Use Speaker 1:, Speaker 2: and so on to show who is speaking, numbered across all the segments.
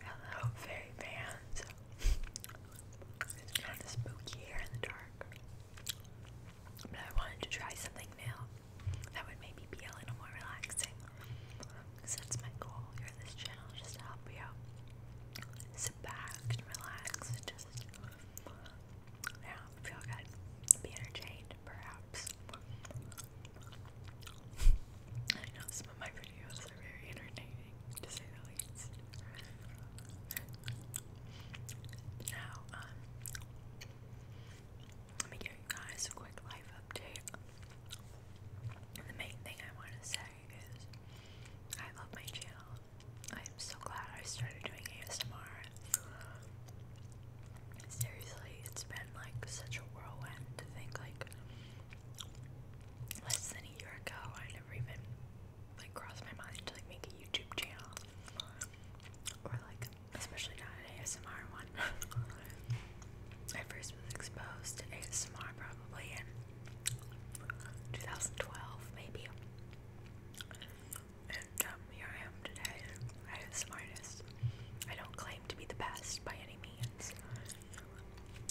Speaker 1: Hello, fairy fans. It's kind of spooky here in the dark. But I wanted to try something new that would maybe be a little more relaxing. Because my goal here on this channel, just to help you Sit back relax just, feel good. Be entertained, perhaps. I know some of my videos are very entertaining, to say the least. Now, um, let me give you guys a quick life update. the main thing I want to say is I love my channel. I am so glad I started doing ASMR. Seriously, it's been like such a whirlwind to think like less than a year ago. I never even like crossed my mind to like make a YouTube channel or like especially not an ASMR one. I first was exposed to ASMR probably in 2012 maybe. And um, here I am today. I am the smartest. I don't claim to be the best by any means.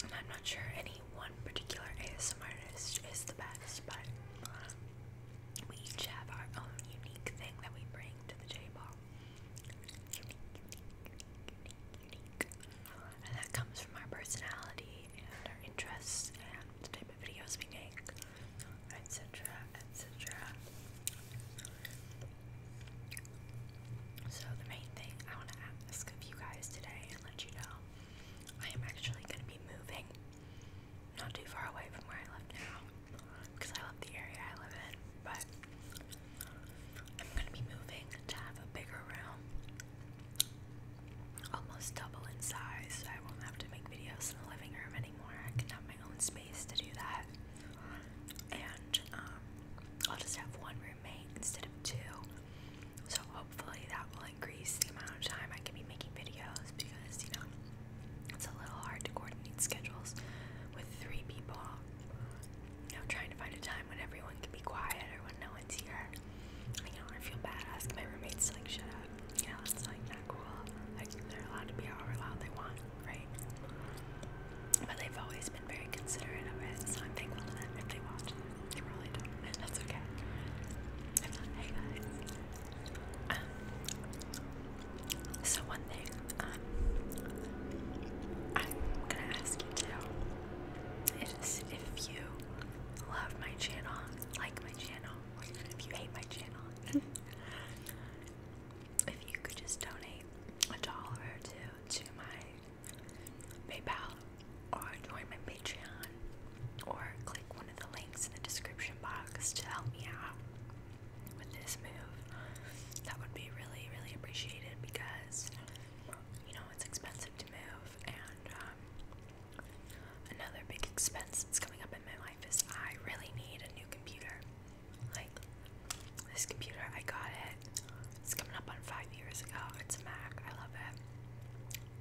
Speaker 1: And I'm not sure any one particular ASMR artist is the best, but we each have our own unique thing that we bring to the J Ball, And that comes from our personality and our interests and the type of videos we make, etc., etc. So, the main thing I want to ask of you guys today and let you know I am actually going to be moving not too far away from where I live now because I love the area I live in, but I'm going to be moving to have a bigger room, almost double in size, so I won't have to make videos in the living room anymore. I can have my own space to do that and um, I'll just have one roommate instead of two. So hopefully that will increase the amount of time I can be making videos because you know it's a little hard to coordinate schedules with three people. You know, trying to find a time when everyone can be quiet or when no one's here. I know I feel bad asking my roommates to like shut up. You know, it's like not cool. Like they're allowed to be however loud they want right? But they've always been very considerate of it, so I'm thankful to them if they watch They probably do and that's okay. hey guys. Um, so one thing, um, I'm gonna ask you too, is if you love my channel, like my channel, if you hate my channel, if you could just donate a dollar to to my PayPal or join my Patreon or click one of the links in the description box to help me out with this move, that would be really, really appreciated because you know it's expensive to move and um, Another big expense that's coming up in my life is I really need a new computer. Like this computer, I got it. It's coming up on five years ago. It's a Mac. I love it.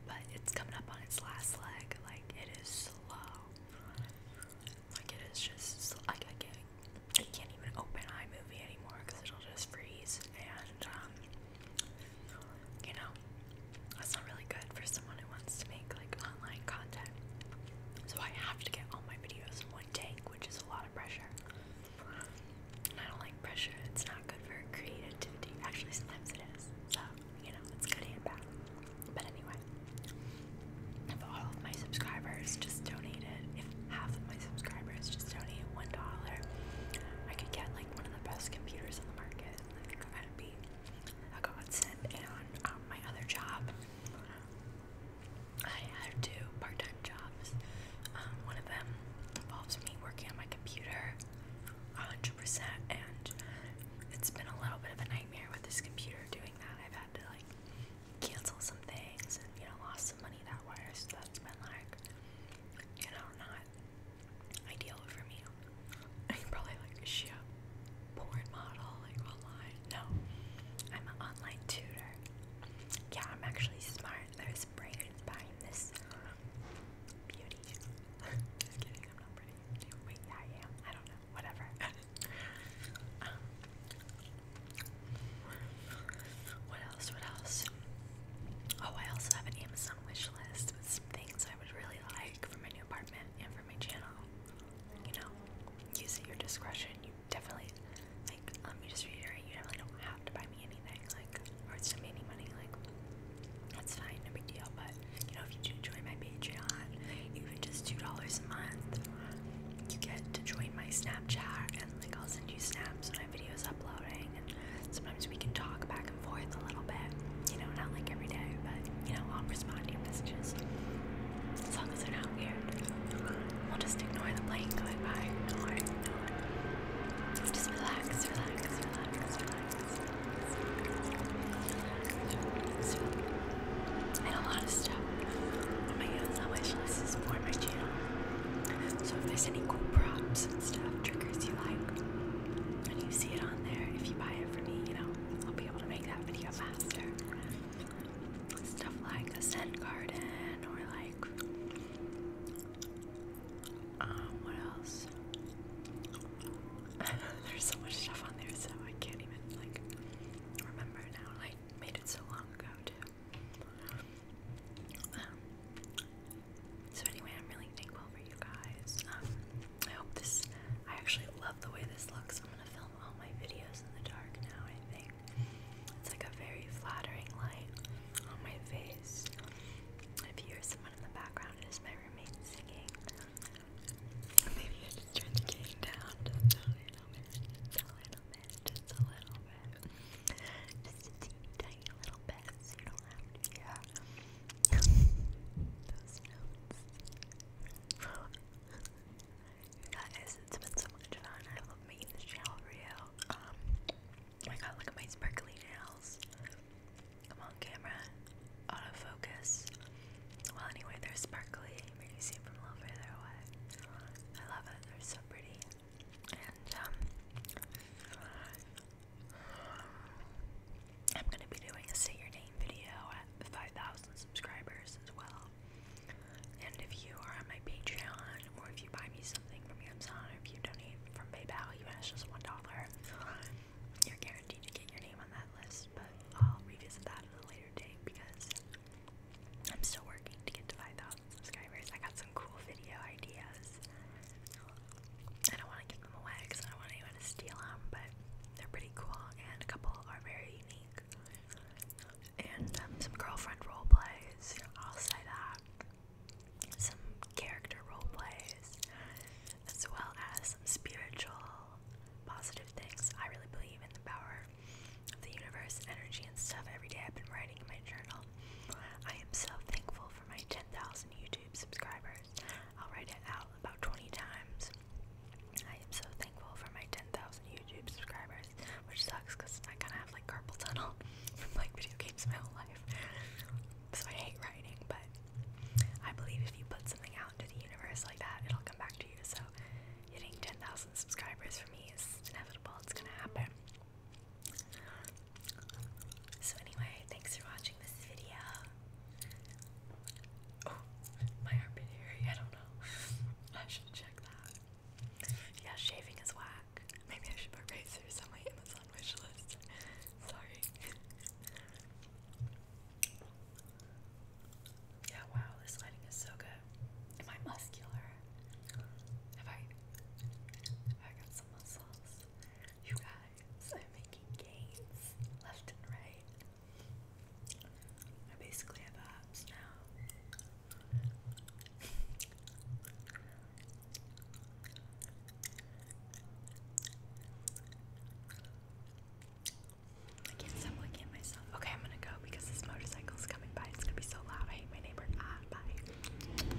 Speaker 1: But it's coming up on its last leg. Like it is slow. Like it is just Like I can't, can't even open iMovie anymore because it'll just freeze. And um, you know, that's not really good for someone wants to make like online content. So I have to get all my videos in one take, which is a lot of pressure. And I don't like pressure. It's not good for creativity. Actually, sometimes it is. So, you know, it's good and bad. But anyway, if all of my subscribers just donated, if half of my subscribers just donated $1, I could get like one of the best computers on the market. and think I'd be a godsend. And um, my other job I have two part-time jobs. Um, one of them involves me working on my computer 100%, and it's been a little bit of a nightmare with this computer doing that. I've had to like cancel some things and you know lost some money that way, so that's been like you know not ideal for me. I'm probably like, is she porn model? Like online? No, I'm an online tutor. Yeah, I'm actually smart. There's brains behind this beauty. Just kidding, I'm not pretty. Wait, yeah, I am. I don't know. Whatever. Um, what else? What else? Oh, I also have an Amazon wish list with some things I would really like for my new apartment and for my channel you know, use your discretion. You definitely, like, let um, me just reiterate, you definitely don't have to buy me anything, like, or send me any money, like, that's fine, no big deal. But, you know, if you do join my Patreon, even just $2 a month, you get to join my Snapchat, and, like, I'll send you snaps when i my video's uploading, and sometimes we can talk back and forth a little little bit. You know, not like every day, but you know, I'll respond to your messages. As long as they're not weird. We'll just ignore the plane going Just relax, relax, relax, relax. And a lot of stuff on my own wish list is for my channel. So if there's any cool props and stuff, triggers you like, and you see it on there, if you buy it for me, you know, I'll be able to make that video faster. Stuff like the scent garden or like um what else? There's so much stuff on there so I can't even like remember now. I made it so long ago too. Um, so anyway, I'm really thankful for you guys. Um, I hope this. I actually love the way this looks. I'm gonna film all my videos in the dark now. I think it's like a very flattering light on my face. If you hear someone in the background, it is my roommate singing. Maybe I just turn down just a little bit, just a little bit, just a little bit, just a teeny tiny little bit, yeah. Those notes. Guys, it's been so much fun. I love making this channel real. you. Um, I got like my sparkly nails. i on camera. focus. Well, anyway, they're sparkly. Maybe you see them from a little further away. I love it. They're so pretty. And, um, I'm gonna be doing a say your name video at 5,000 subscribers as well. And if you are on my Patreon, or if you buy me something from Amazon, or if you donate from PayPal, even if just one dollar, you're guaranteed to get your name on that list. But I'll revisit that at a later date because I'm still working to get to 5,000 subscribers. I got some cool video ideas, and I want to away because I don't want anyone to steal them, but they're pretty cool, and a couple are very unique. And um, some girlfriend role plays, I'll say that. Some character role plays, as well as some spiritual, positive things. I really believe in the power of the universe, energy, and stuff. Every day I've been writing in my journal. I am so thankful for my 10,000 YouTube subscribers. I'll write it out about 20 times. I am so thankful for my 10,000 YouTube subscribers, which sucks because I kind of have like carpal tunnel from like video games my whole life. so I hate writing, but I believe if you put something out into the universe like that, it'll come back to you. So hitting 10,000 subscribers for me is inevitable, it's gonna happen. So anyway, thanks for watching this video. Oh, my armpit area, I don't know. I should check that. Yeah, shaving is whack. Maybe I should put razors on my Amazon wish list. Sorry. Yeah, wow, this lighting is so good. Am I muscular? Have I I got some muscles? You guys, I'm making gains left and right. I basically have abs now. I can't stop looking at myself. Okay, I'm gonna go because this motorcycle is coming by. It's gonna be so loud. I hate my neighbor. Ah, bye.